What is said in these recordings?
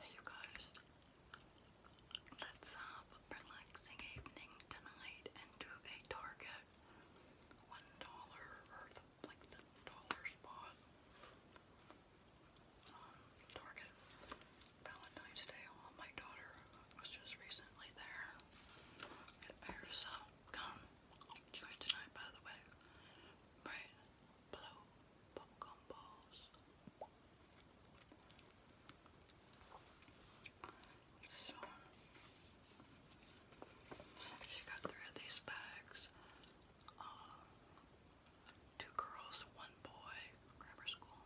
Hey you guys, let's have a relaxing evening tonight and do a Target one dollar or like the dollar spot um, Target Valentine's Day. Oh, my daughter was just recently there. Get her some gum. For tonight, by the way, red, blue, popcorn balls. So, she got three of these bags. Um, two girls, one boy, grammar school,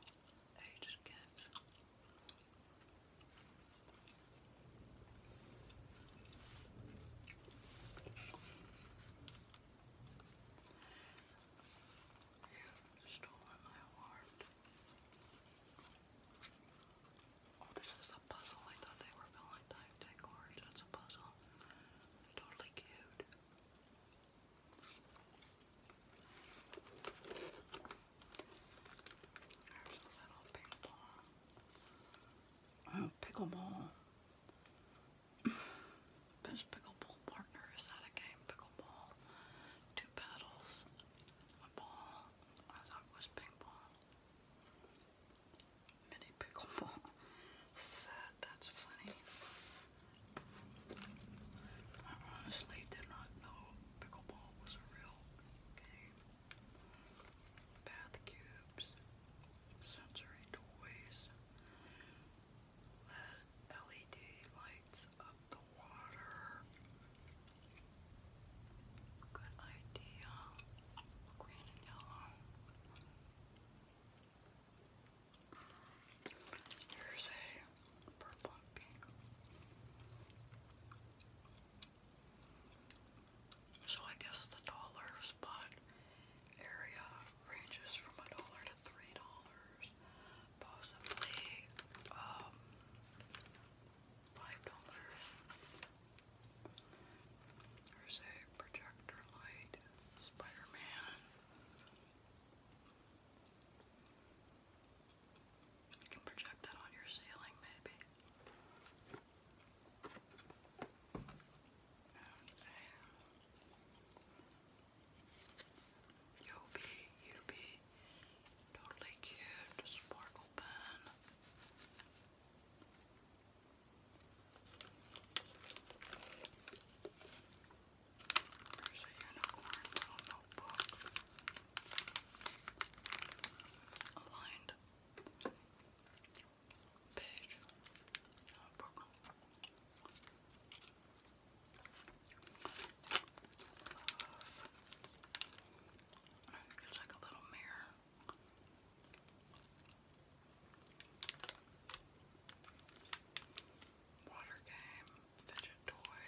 age kids. You've my heart. Oh, this is a puzzle. I thought they were Valentine Day That's a puzzle. Totally cute. There's a little ping pickleball. Best pickleball partner. Is that a game? Pickleball. Two paddles. A ball. I thought it was ping pong. Mini pickleball. Sad. That's funny. I honestly did not know pickleball was a real game bath cubes, sensory toys, LED lights the water. Good idea. Green and yellow. Here's a purple pink. So I guess the dollar spot area ranges from a dollar to three dollars, possibly um, five dollars. There's a projector light, Spider-Man. You can project that on your ceiling, maybe. You'll you totally cute, sparkle pen. There's a unicorn notebook aligned page. No It's like a little mirror. Water game, fidget toy.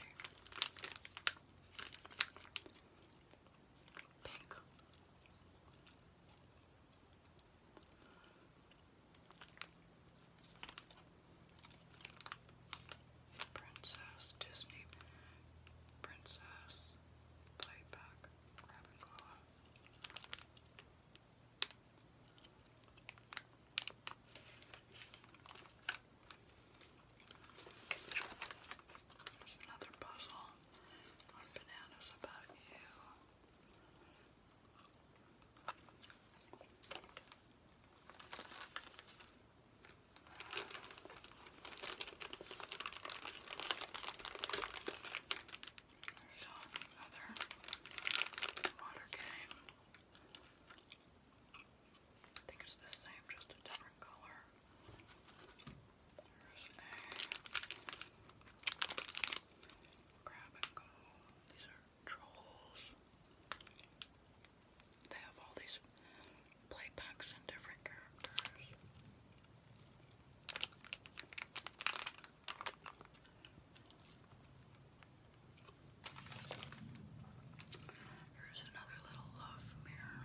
Pink. Princess Disney. Princess Playback. Grab and another puzzle on bananas about you. There's another water game. I think it's the same, just a different color a grab and go. These are trolls. They have all these play packs and different characters. Here's another little love mirror.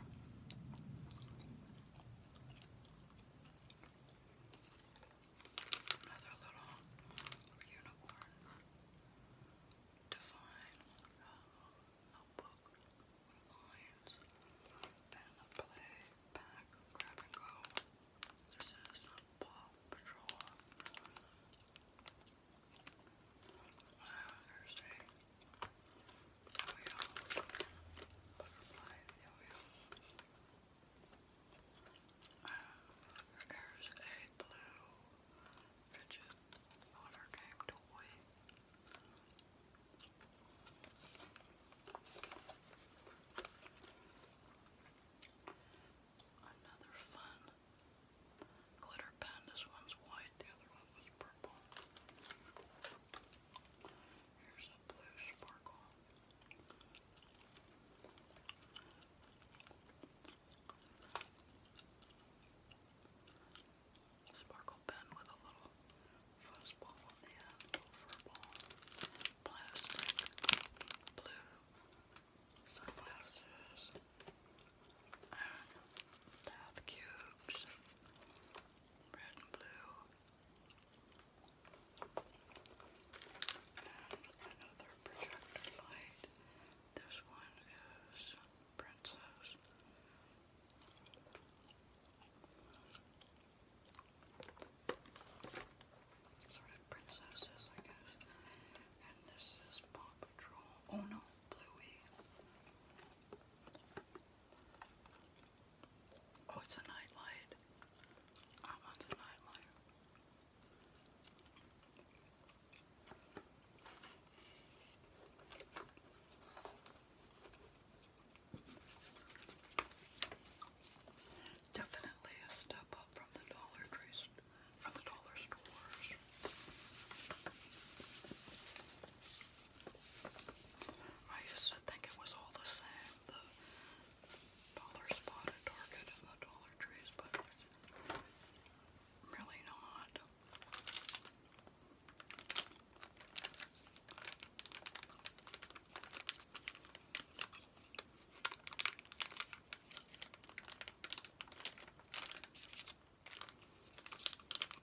Another little unicorn define notebook lines and a play pack grab and go. This is Paw Patrol. Uh, yo-yo, blue fidget water toy. Another fun glitter pen. This one's white, the other one was purple. Here's a blue sparkle. Sparkle pen with a little fuzz on the end, blue, sunglasses, bath cubes, red and blue, and another projector light. This one is Princess. Sort of princesses, I guess. And this is Paw Patrol. Oh no, Bluey. Oh, it's a night light. I want a night Definitely a step up from the dollar trees, from the dollar stores. I used to think it was all the same, the dollar spot Target and the Dollar Trees, but really not.